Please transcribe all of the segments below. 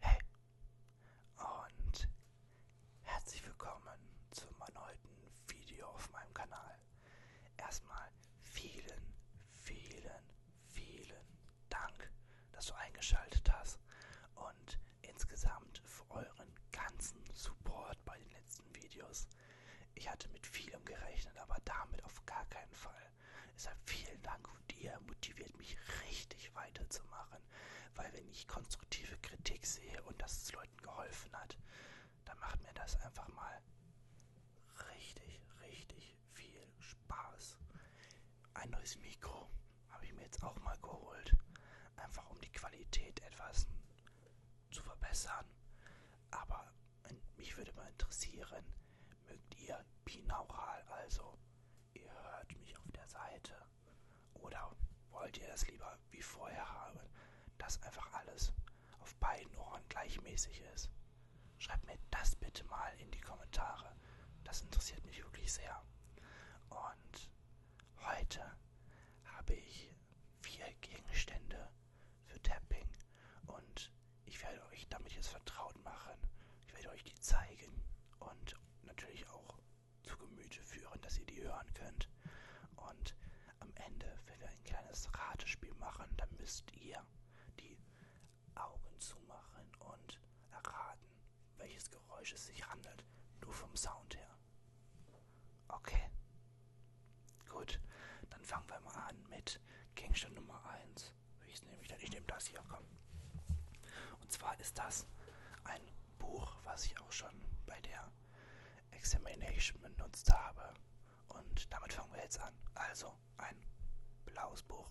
Hey und herzlich willkommen zum erneuten Video auf meinem Kanal. Erstmal vielen, vielen, vielen Dank, dass du eingeschaltet hast und insgesamt für euren ganzen Support bei den letzten Videos. Ich hatte mit vielem gerechnet, aber damit auf gar keinen Fall. Deshalb vielen Dank und ihr motiviert mich richtig weiterzumachen, weil wenn ich konstruktive Kritik sehe und dass es Leuten geholfen hat, dann macht mir das einfach mal richtig, richtig viel Spaß. Ein neues Mikro habe ich mir jetzt auch mal geholt, einfach um die Qualität etwas zu verbessern. Aber äh, mich würde mal interessieren, mögt ihr binaural, also ihr hört mich auf der Seite. Oder wollt ihr es lieber wie vorher haben, dass einfach alles auf beiden Ohren gleichmäßig ist? Schreibt mir das bitte mal in die Kommentare. Das interessiert mich wirklich sehr. Und heute habe ich vier Gegenstände für Tapping und ich werde euch damit jetzt vertraut machen. Ich werde euch die zeigen und natürlich auch zu Gemüte führen, dass ihr die hören könnt. Und am Ende, wenn wir ein kleines Ratespiel machen, dann müsst ihr die Augen zumachen und erraten, welches Geräusch es sich handelt, nur vom Sound her. Okay. Gut, dann fangen wir mal an mit Gegenstand Nummer 1 das. Welches nehme ich denn? Ich nehme das hier, komm. Und zwar ist das ein Buch, was ich auch schon bei der Examination benutzt habe. Und damit fangen wir jetzt an. Also ein blaues Buch.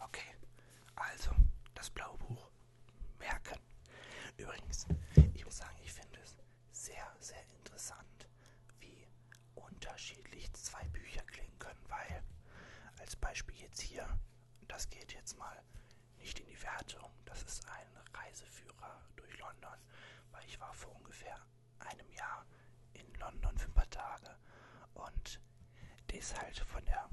Okay, also das blaue Buch merken. Übrigens, ich muss sagen, ich finde es sehr, sehr interessant, wie unterschiedlich zwei Bücher klingen können, weil als Beispiel jetzt hier, das geht jetzt mal nicht in die Wertung, das ist ein Reiseführer durch London, weil ich war vor ungefähr einem Jahr in London für ein paar Tage und die ist halt von der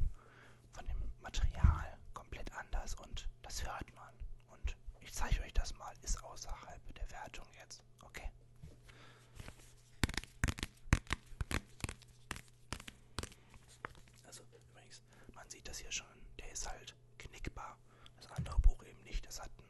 von dem Material komplett anders und das hört man. Und ich zeige euch das mal, ist außerhalb der Wertung jetzt, okay? Also übrigens, man sieht das hier schon, der ist halt knickbar. Das andere Buch eben nicht, das hat einen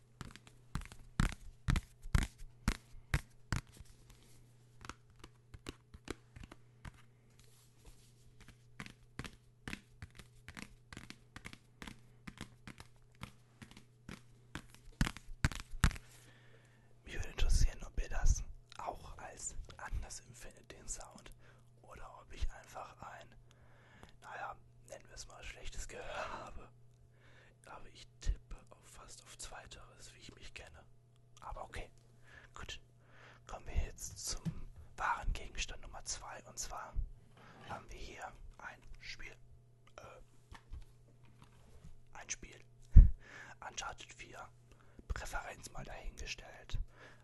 Mich würde interessieren, ob ihr das auch als anders empfindet, den Sound, oder ob ich einfach ein, naja, nennen wir es mal schlechtes Gehör habe. Aber ich tippe auf fast auf Zweiteres, wie ich mich kenne. Aber okay, gut. Kommen wir jetzt zum wahren Gegenstand Nummer 2. Und zwar haben wir hier ein Spiel. Äh, ein Spiel. Uncharted 4. Präferenz mal dahingestellt.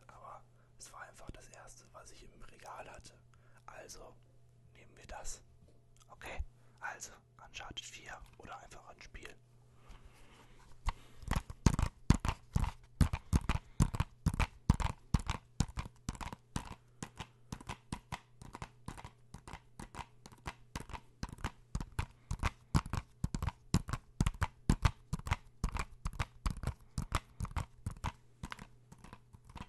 Aber es war einfach das erste, was ich im Regal hatte. Also nehmen wir das. Okay, also Uncharted 4 oder einfach ein Spiel.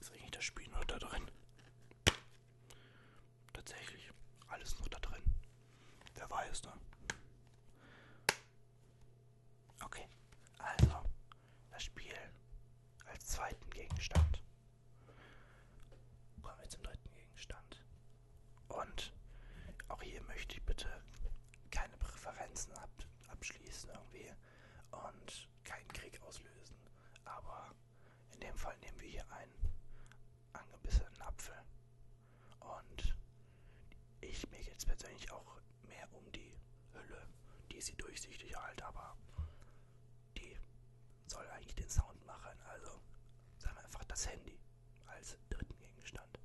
Ist eigentlich das Spiel noch da drin? Tatsächlich, alles noch da drin. Wer weiß, ne? Okay, also das Spiel als zweiten Gegenstand. Kommen wir zum dritten Gegenstand. Und auch hier möchte ich bitte keine Präferenzen ab abschließen irgendwie. Und keinen Krieg auslösen. Aber in dem Fall nehmen wir hier einen angebissenen Apfel. Und ich mir jetzt persönlich auch mehr um die Hülle. Die ist sie durchsichtig halt, aber die soll eigentlich den Sound machen. Also sagen wir einfach das Handy als dritten Gegenstand.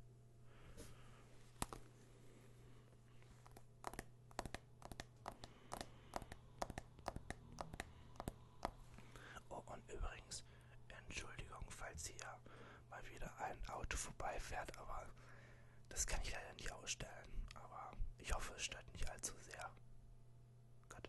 Oh, und übrigens, Entschuldigung, falls hier mal wieder ein Auto vorbeifährt, aber das kann ich leider nicht ausstellen. Aber ich hoffe, es stört nicht allzu sehr. Gut.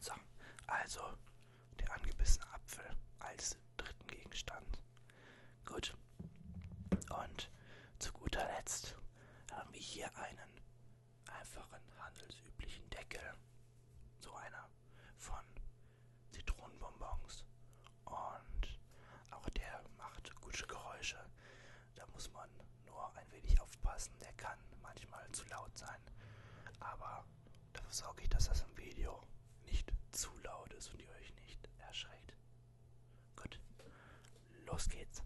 So, also der angebissene Apfel als dritten Gegenstand. Gut. Und zu guter Letzt haben wir hier einen einfachen handelsüblichen Deckel. So einer von Zitronenbonbons. Und auch der macht gute Geräusche. Da muss man nur ein wenig aufpassen. Der kann kann manchmal zu laut sein, aber dafür sorge ich, dass das im Video nicht zu laut ist und ihr euch nicht erschreckt. Gut, los geht's.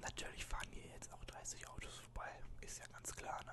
Natürlich fahren hier jetzt auch 30 Autos vorbei, ist ja ganz klar, ne?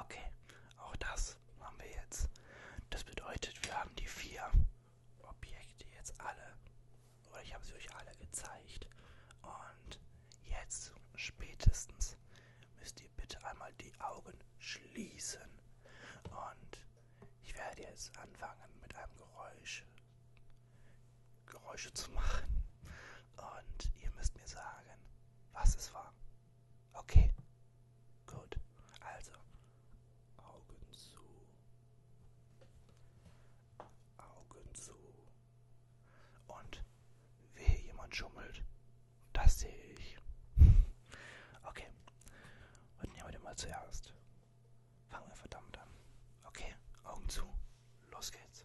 Okay, auch das haben wir jetzt. Das bedeutet, wir haben die vier Objekte jetzt alle, oder ich habe sie euch alle gezeigt. Und jetzt spätestens müsst ihr bitte einmal die Augen schließen. Und ich werde jetzt anfangen mit einem Geräusch Geräusche zu machen. Und ihr müsst mir sagen, was es war. Okay. Gut. Also. Augen zu. Augen zu. Und wehe jemand schummelt. Das sehe ich. Okay. Und nehmen wir den mal zuerst. Fangen wir verdammt an. Okay, Augen zu. Los geht's.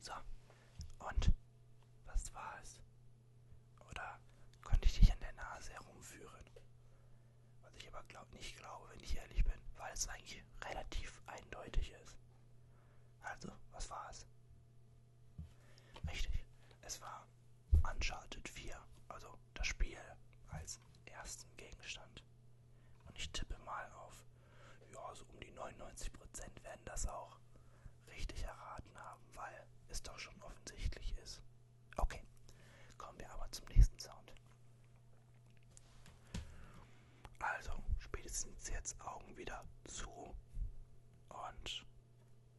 So, und was war es? Oder konnte ich dich an der Nase herumführen? Was ich aber glaub, nicht glaube, wenn ich ehrlich bin, weil es eigentlich relativ eindeutig ist. Also, was war es? Richtig, es war Uncharted 4, also das Spiel als ersten Gegenstand. Und ich tippe mal auf, ja, so um die 99% werden das auch richtig erraten haben, weil es doch schon offensichtlich ist. Okay, kommen wir aber zum nächsten Sound. Also, spätestens jetzt Augen wieder zu und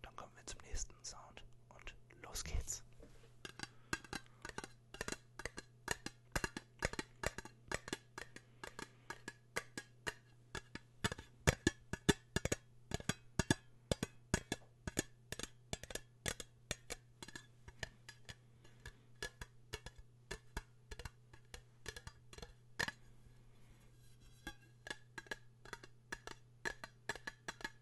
dann kommen wir zum nächsten Sound und los geht's.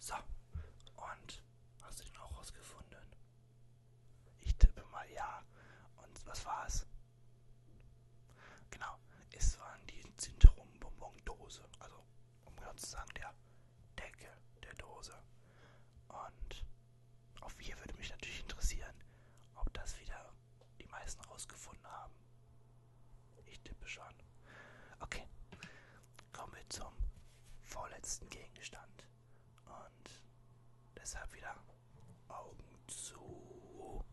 So, und hast du den auch rausgefunden? Ich tippe mal ja. Und was war's? Genau, es waren die Zintrum-Bonbon-Dose. Also, um genau zu sagen, der Deckel der Dose. Und auch hier würde mich natürlich interessieren, ob das wieder die meisten rausgefunden haben. Ich tippe schon. Okay, kommen wir zum vorletzten Gegenstand. Und deshalb wieder Augen zu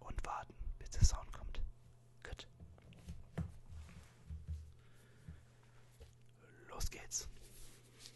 und warten, bis der Sound kommt. Gut. Los geht's.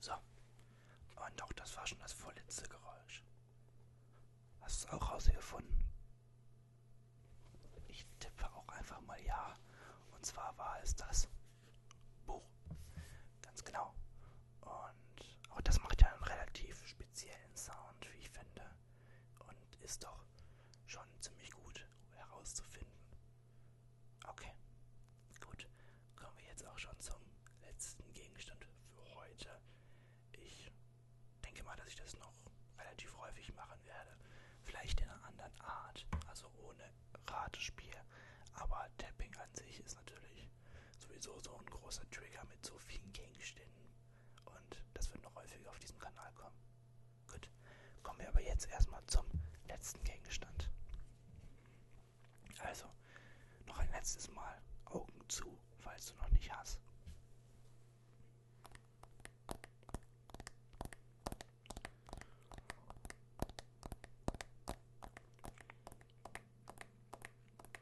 So. Und doch, das war schon das vorletzte Geräusch. Hast du es auch rausgefunden? Ich tippe auch einfach mal ja. Und zwar war es das Buch. Ganz genau. Und auch oh, das macht ja einen relativ speziellen Sound, wie ich finde. Und ist doch schon ziemlich gut herauszufinden. Okay, gut. Kommen wir jetzt auch schon zum letzten Gegenstand für heute. Ich denke mal, dass ich das noch relativ häufig machen werde. Vielleicht in einer anderen Art, also ohne Ratespiel. Aber Tapping an sich ist natürlich sowieso so ein großer Trigger mit so vielen Gegenständen. Und das wird noch häufiger auf diesem Kanal kommen. Gut, kommen wir aber jetzt erstmal zum letzten Gegenstand. Also, noch ein letztes Mal Augen zu, falls du noch nicht hast.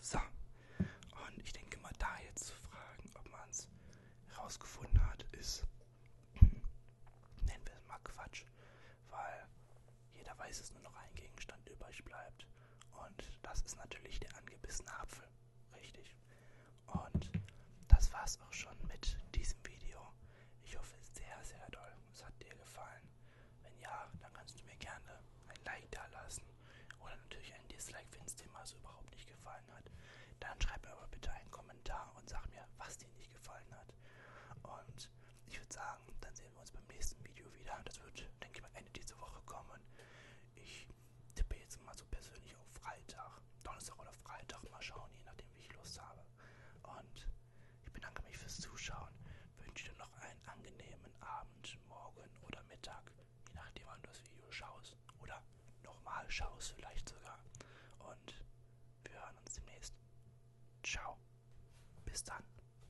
So, und ich denke mal, da jetzt zu fragen, ob man es herausgefunden hat, ist, hm, nennen wir es mal Quatsch, weil jeder weiß, dass nur noch ein Gegenstand übrig bleibt. Und das ist natürlich der angebissene Apfel. Richtig. Und das war's auch schon mit diesem Video. Ich hoffe sehr, sehr doll. Es hat dir gefallen. Wenn ja, dann kannst du mir gerne ein Like da lassen. Oder natürlich ein Dislike, wenn es dir mal so überhaupt nicht gefallen hat. Dann schreib mir aber bitte einen Kommentar und sag mir, was dir nicht gefallen hat. Und ich würde sagen, sagen, dann sehen wir uns beim nächsten Video wieder. Das wird, denke ich mal, Ende dieser Woche kommen. Ich tippe jetzt mal so persönlich auf Freitag, Donnerstag oder Freitag. Mal schauen, je nachdem, wie ich Lust habe. Und ich bedanke mich fürs Zuschauen. Wünsche dir noch einen angenehmen Abend, Morgen oder Mittag. Je nachdem, wann du das Video schaust. Oder nochmal schaust vielleicht sogar. Und wir hören uns demnächst. Ciao. Bis dann.